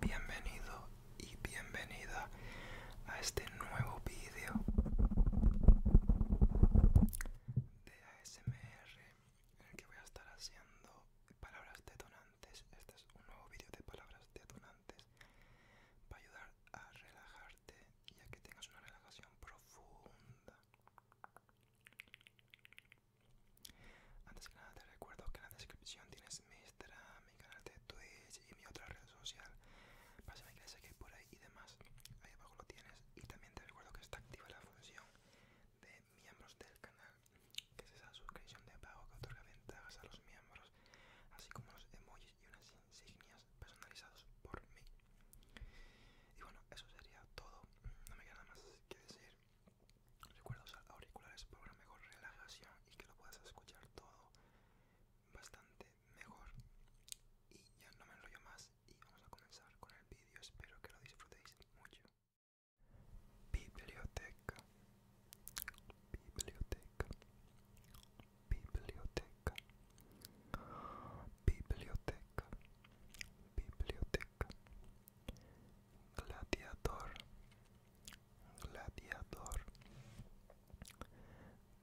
Bienvenido y bienvenida a este nuevo vídeo de ASMR en el que voy a estar haciendo palabras detonantes. Este es un nuevo vídeo de palabras detonantes para ayudar a relajarte y a que tengas una relajación profunda. Antes que nada te recuerdo que en la descripción tienes mi Instagram, mi canal de Twitch y mi otra red social. Pásame que sé que por ahí y demás. Ahí abajo lo tienes. Y también te recuerdo que está activa la función de miembros del canal, que es esa suscripción de pago que otorga ventajas a los miembros, así como los emojis y unas insignias personalizados por mí. Y bueno, eso sería todo. No me queda nada más que decir. Recuerda usar auriculares para una mejor relajación y que lo puedas escuchar todo bastante mejor. Y ya no me enrollo más y vamos a comenzar con el vídeo. Espero que lo disfrutéis mucho. Biblioteca. Biblioteca. Biblioteca. Biblioteca. Biblioteca gladiador gladiador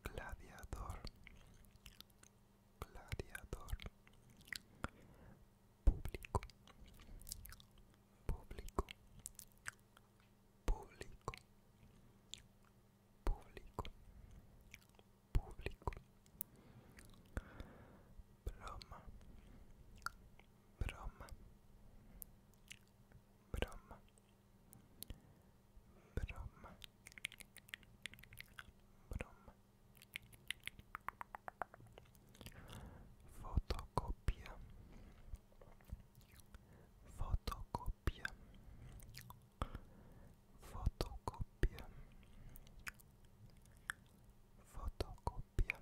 gladiador gladiador público público público público público broma Brom. Brom. Brom. Brom. Fotokopia. Fotokopia. Fotokopia. Fotokopia.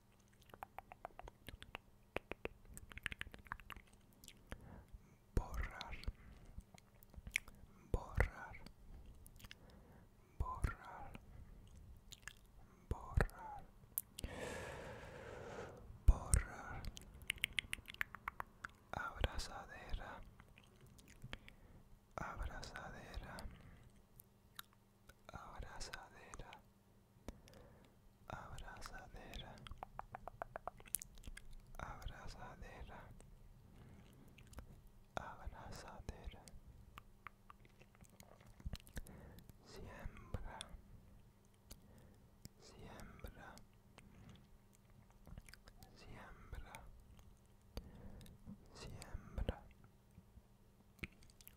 borrar borrar borrar borrar borrar abrazadera abrazadera abrazadera, abrazadera, abrazadera, abrazadera. Siembra, siembra, siembra, siembra.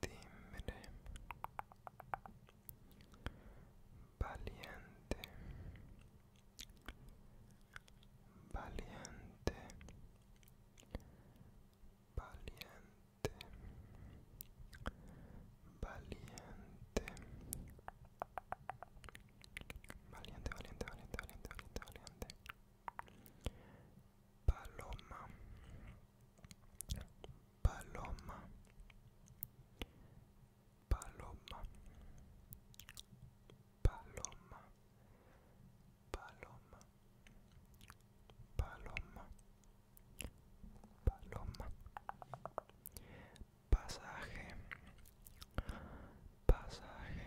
timbre valiente valiente valiente valiente valiente valiente valiente valiente valiente valiente paloma paloma paloma paloma paloma paloma paloma pasaje pasaje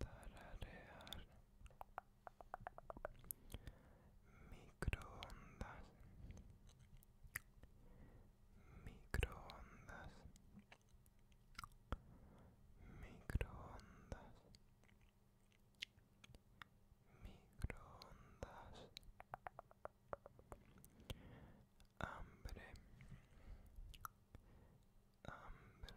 tararear microondas microondas microondas microondas hambre hambre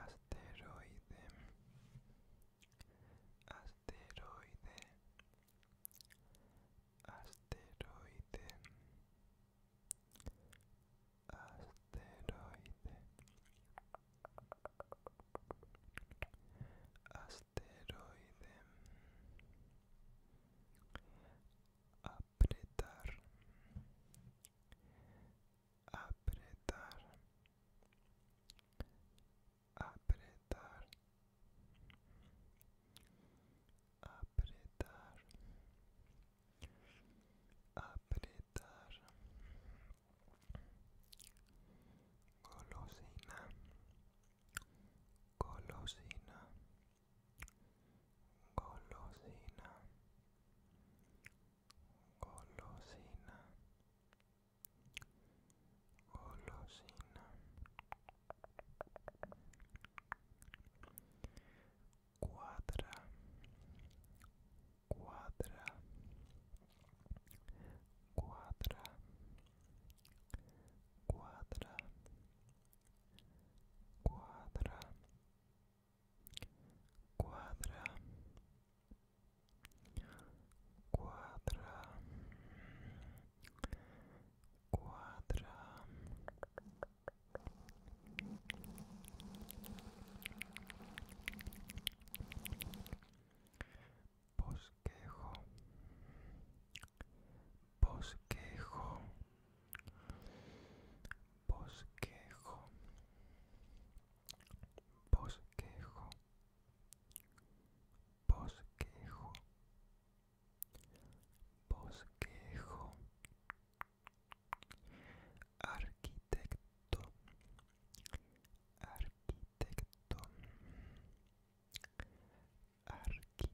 asteroide asteroide asteroide asteroide asteroide apretar apretar apretar apretar apretar golosina golosina golosina colosina colosina cuadra cuadra cuadra cuadra cuadra cuadra cuadra cuadra bosquejo bosquejo bosquejo bosquejo bosquejo bosquejo arquitecto arquitecto arquitecto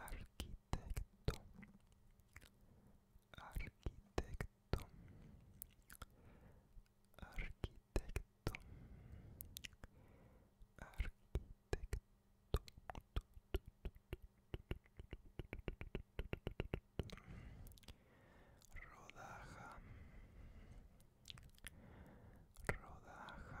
arquitecto arquitecto arquitecto arquitecto rodaja rodaja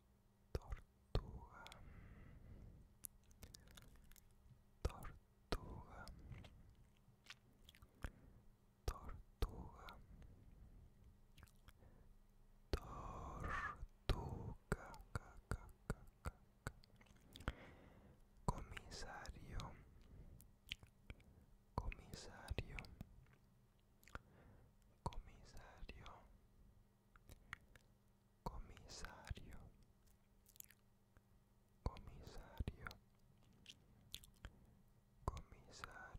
tortuga tortuga tortuga tortuga comisario comisario comisario comisario comisario comisario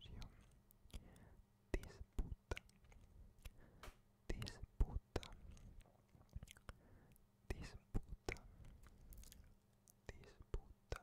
disputa disputa disputa disputa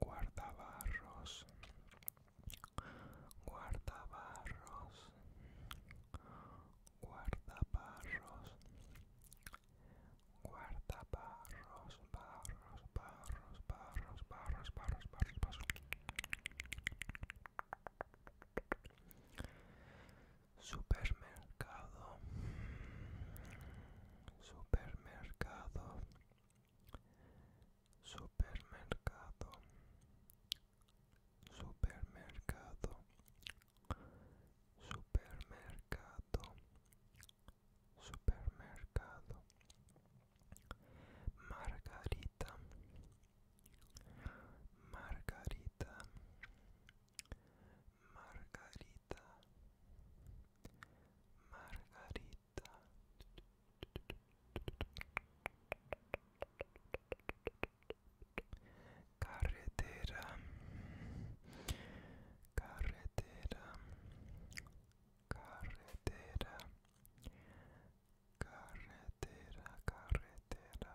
guardabarros guardabarros guardabarros guardabarros barros barros barros barros barros barros barros supermercado supermercado supermercado supermercado supermercado supermercado margarita margarita margarita Margarita Carretera Carretera Carretera Carretera Carretera Carretera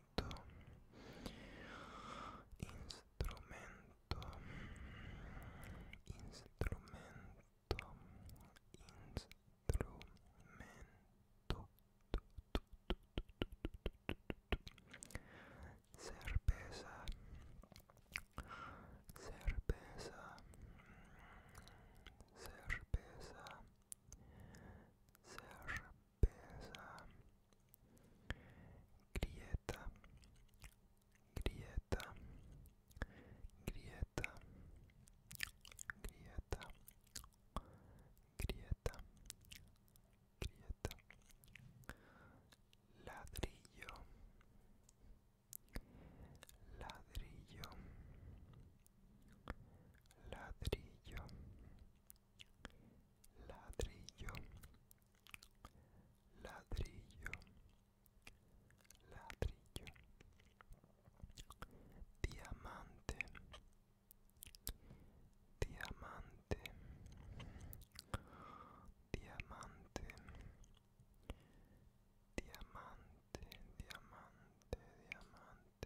instrumento, instrumento, instrumento, cerveza, cerveza, cerveza cerveza Pesa grieta, grieta, grieta, grieta, grieta, grieta, ladrillo, ladrillo. Ladrillo, ladrillo ladrillo ladrillo diamante diamante diamante diamante diamante diamante diamante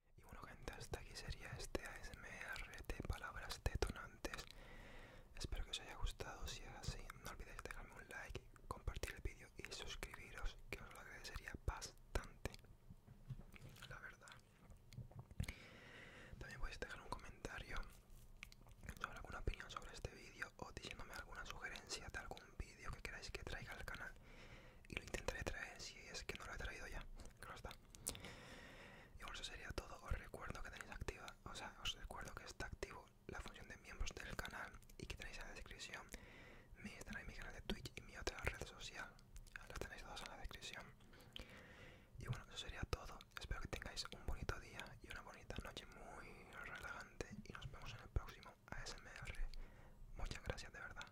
Y bueno gente, hasta aquí sería este ASMR de palabras detonantes. Espero que os haya gustado, si es así no olvidéis dejarme un like, compartir el vídeo y suscribiros, que os lo agradecería bastante, la verdad. También podéis dejar un comentario sobre alguna opinión sobre este vídeo o diciéndome alguna sugerencia de algún vídeo que queráis que traiga al canal y lo intentaré traer si es que no lo he traído ya, claro está. Y bueno, eso sería todo. Os recuerdo que tenéis activa, o sea, os recuerdo que está activo la función de miembros del canal y que tenéis en la descripción mi mi canal de Twitch y mi otra red social. Las tenéis todas en la descripción. Y bueno, eso sería todo. Espero que tengáis un bonito día y una bonita noche muy relajante. Y nos vemos en el próximo ASMR. Muchas gracias de verdad.